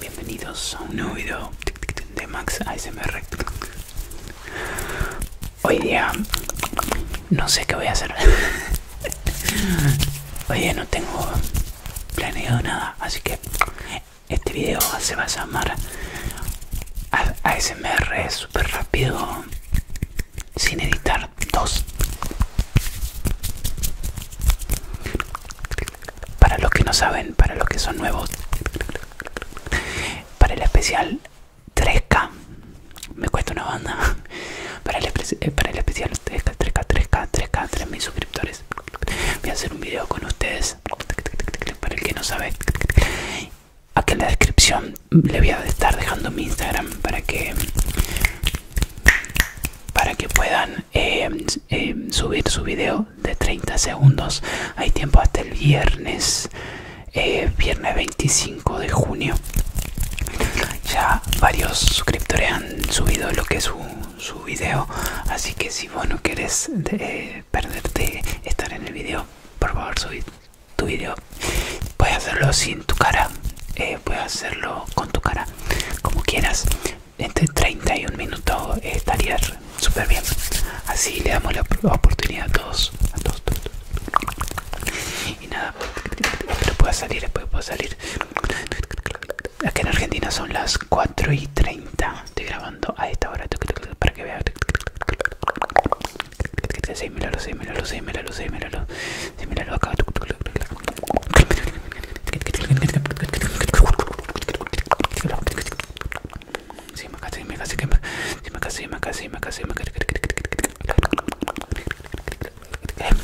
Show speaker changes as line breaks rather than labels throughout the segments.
Bienvenidos a un nuevo video de Max ASMR. Hoy día no sé qué voy a hacer. Hoy día no tengo planeado nada, así que este video se va a llamar ASMR super rápido sin editar 2. Para los que no saben, para los que son nuevos, para el especial 3K, me cuesta una banda. Para el, eh, para el especial 3K, 3K, 3K, 3K, 3.000 suscriptores voy a hacer un video con ustedes para el que no sabe aquí en la descripción le voy a estar dejando mi instagram para que para que puedan em, em, subir su video de 30 segundos hay tiempo hasta el viernes eh, viernes 25 de junio ya varios suscriptores han subido lo que es un su video así que si vos no querés eh, perderte estar en el video por favor subir tu video puedes hacerlo sin tu cara eh, puedes hacerlo con tu cara como quieras entre este 31 y estaría súper bien así le damos la oportunidad a todos a todos, y nada puedo salir después puedo salir Aquí en Argentina son las 4 y 30. Estoy grabando a esta hora para que vean.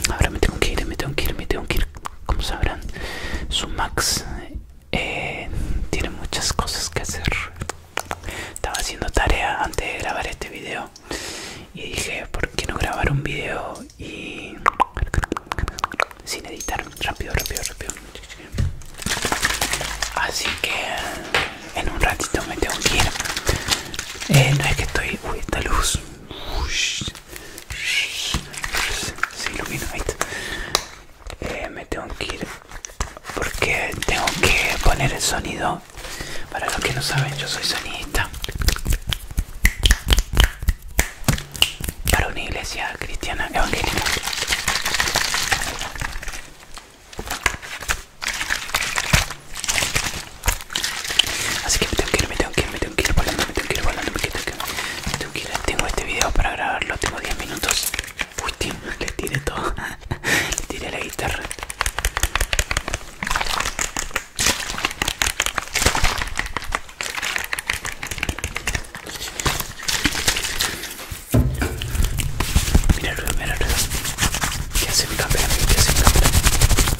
Ahora me tengo que ir, me tengo que ir, me tengo como sabrán su max eh, tiene muchas cosas que hacer estaba haciendo tarea antes de grabar este video y dije por qué no grabar un video y sin editar rápido rápido rápido así que en un ratito me tengo que ir eh, no es que estoy uy esta luz se ilumina eh, me tengo que ir porque tengo que poner el sonido para los que no saben yo soy sonista para una iglesia cristiana evangélica Así que me tengo que ir, me tengo que me tengo que ir tengo que ir volando, me tengo que ir volando, me tengo que, me tengo este video para grabarlo, tengo 10 minutos. Uy, tío, le tiré todo. le tiré la guitarra. Mira, mira, mira. ¿Qué hace mi cámara? ¿Qué hace mi cámara?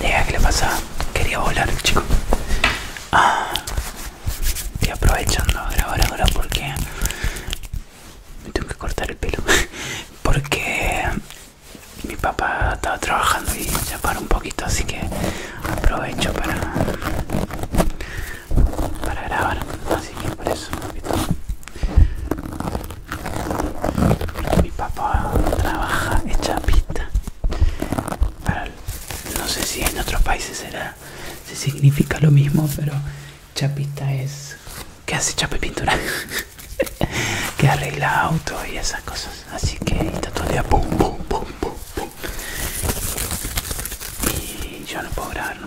¿Qué que le pasa, quería volar el chico. Ah. estoy aprovechando a grabar ahora porque me tengo que cortar el pelo. Porque mi papá estaba trabajando y ya paró un poquito, así que aprovecho para, para grabar. Así que por eso, un poquito. Mi papá trabaja en chapita. No sé si en otros países será, se significa lo mismo, pero chapita es que hace chapa y pintura, que arregla autos y esas cosas. Así que está todo el día Y yo no puedo grabarlo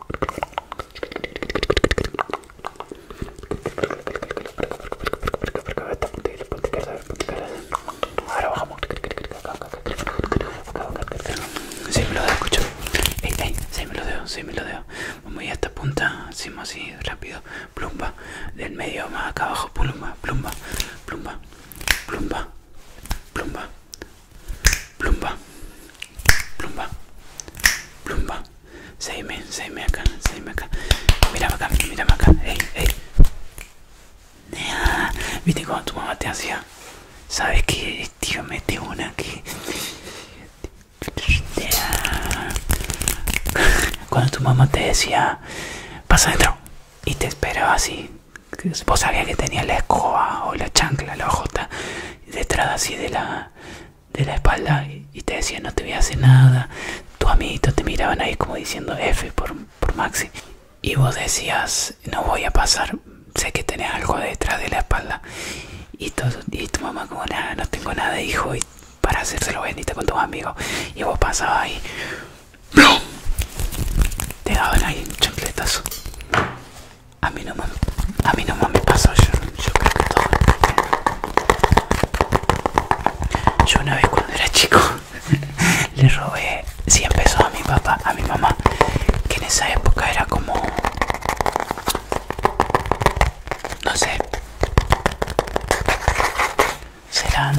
Ahora bajamos. Sí, me lo dejo, escucho. si sí, me lo dejo, sí, me lo dejo. Vamos a ir a esta punta, hacemos así rápido. Plumba, del medio más acá abajo. Plumba, plumba, plumba, plumba, plumba, plumba, plumba, plumba. Seguime, seguime acá, seguime acá. mira acá, mira acá. Ey, ey. ¿Viste tu mamá te hacía? ¿Sabes que Tío, mete una que... Cuando tu mamá te decía, pasa adentro y te esperaba así, vos sabías que tenía la escoba o la chancla, la jota detrás así de la, de la espalda y, te decía no te voy a hacer nada. Tus amiguitos te miraban ahí como diciendo F por, por Maxi. Y vos decías, no voy a pasar, sé que tenés algo detrás de la espalda. Y, tu mamá como, nada, no tengo nada, hijo, y para hacérselo bendita con tus amigos. Y vos pasabas ahí. Te daban ahí un chancletazo. A mi no me, a no me pasó, yo, yo creo que todo Yo una vez cuando era chico le robé 100 pesos a mi papá, a mi mamá, que en esa época era como... No sé. Serán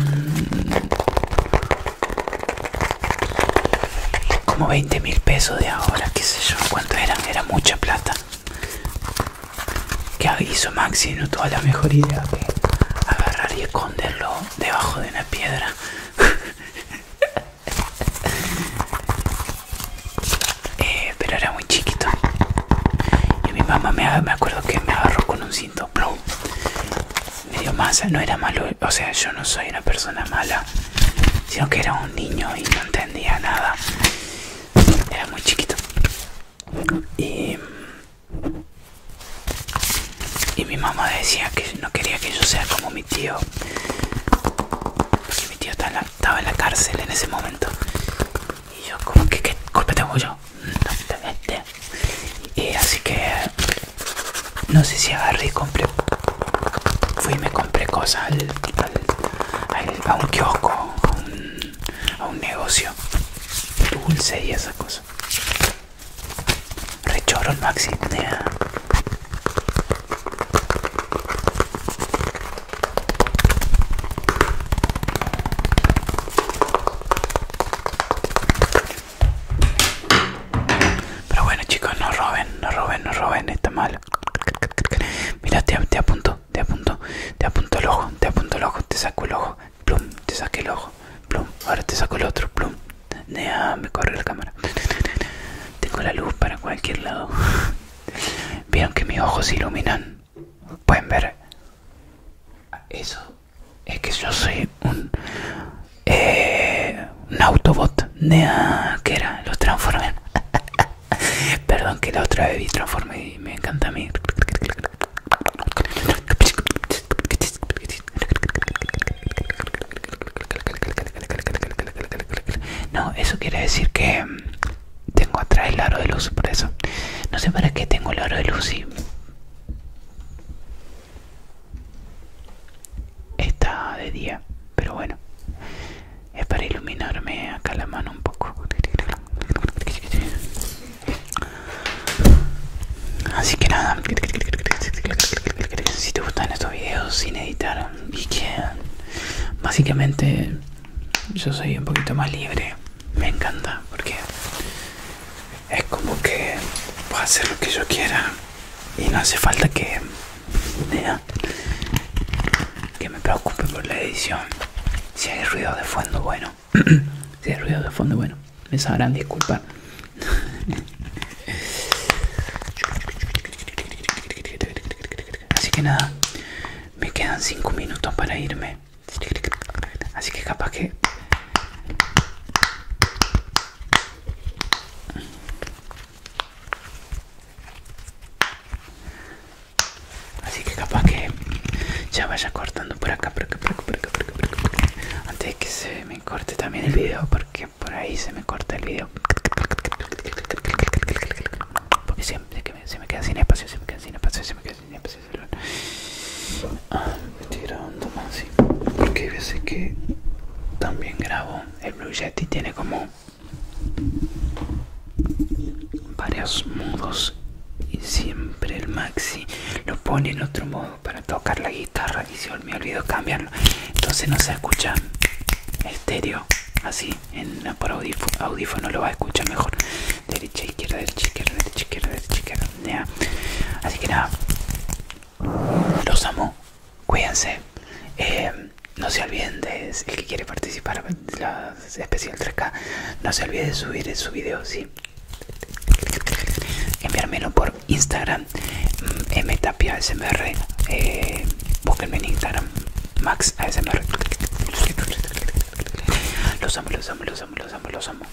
como 20 mil pesos de ahora qué sé yo cuánto eran era mucha plata que hizo Maxi no tuvo la mejor idea de agarrar y esconderlo debajo de una piedra eh, pero era muy chiquito y mi mamá me, me acuerdo que me agarró con un cinto plum medio masa, no era malo, o sea, yo no soy una persona mala, sino que era un niño y no entendía nada, era muy chiquito. Y, mi mamá decía que no quería que yo sea como mi tío, porque mi tío estaba en la, cárcel en ese momento. Y yo como que, ¿qué culpa tengo yo? No, y así que no sé si agarré y compré. Fui y me compré cosas al, a un kiosco, a un, negocio. Dulce y esa cosa. Rechoro maxi. Pero bueno chicos, no roben, no roben, no roben, está mal. Mira, te, apunto, te apunto, te apunto el ojo, te apunto el ojo, te saco el ojo, plum, te saqué el ojo, plum, ahora te saco el otro, plum. me corre la cámara. Tengo la luz para cualquier lado. Vieron que mis ojos iluminan. Pueden ver. Eso es que yo soy un, eh, un Autobot, que era los Transformers. Perdón que la otra vez vi y me encanta a mí. No, eso quiere decir que tengo atrás el aro de luz, por eso. No sé para qué tengo el aro de luz y Está de día, pero bueno. Es para iluminarme acá la mano un poco. Así que nada, si te gustan estos vídeos sin editar y que básicamente yo soy un poquito más libre, me encanta porque es como que a hacer lo que yo quiera y no hace falta que que me preocupe por la edición si hay ruido de fondo bueno si hay ruido de fondo bueno me sabrán disculpar así que nada me quedan 5 minutos para irme así que capaz que Así que capaz que ya vaya cortando por acá, porque por acá, por acá, por acá, Antes de que se me corte también el video, porque por ahí se me corta el video. Porque siempre se me queda sin espacio, se me queda sin espacio, se me queda sin espacio. Se estoy grabando así ah, porque hay veces que también grabo el Blue Yeti tiene como varios modos y siempre el maxi lo pone en otro modo para tocar la guitarra y se me olvidó cambiarlo entonces no se escucha estéreo así en ah, por audífono, lo va a escuchar mejor derecha izquierda derecha izquierda derecha izquierda así que nada los amo. Cuídense. Eh, no se olviden de el que quiere participar la especial 3K. No se olviden de subir su video, sí. Enviármelo por Instagram. MTapiaSmr. Mm, eh, búsquenme en Instagram. Max Los amo, los amo, los amo, los amo, los amo.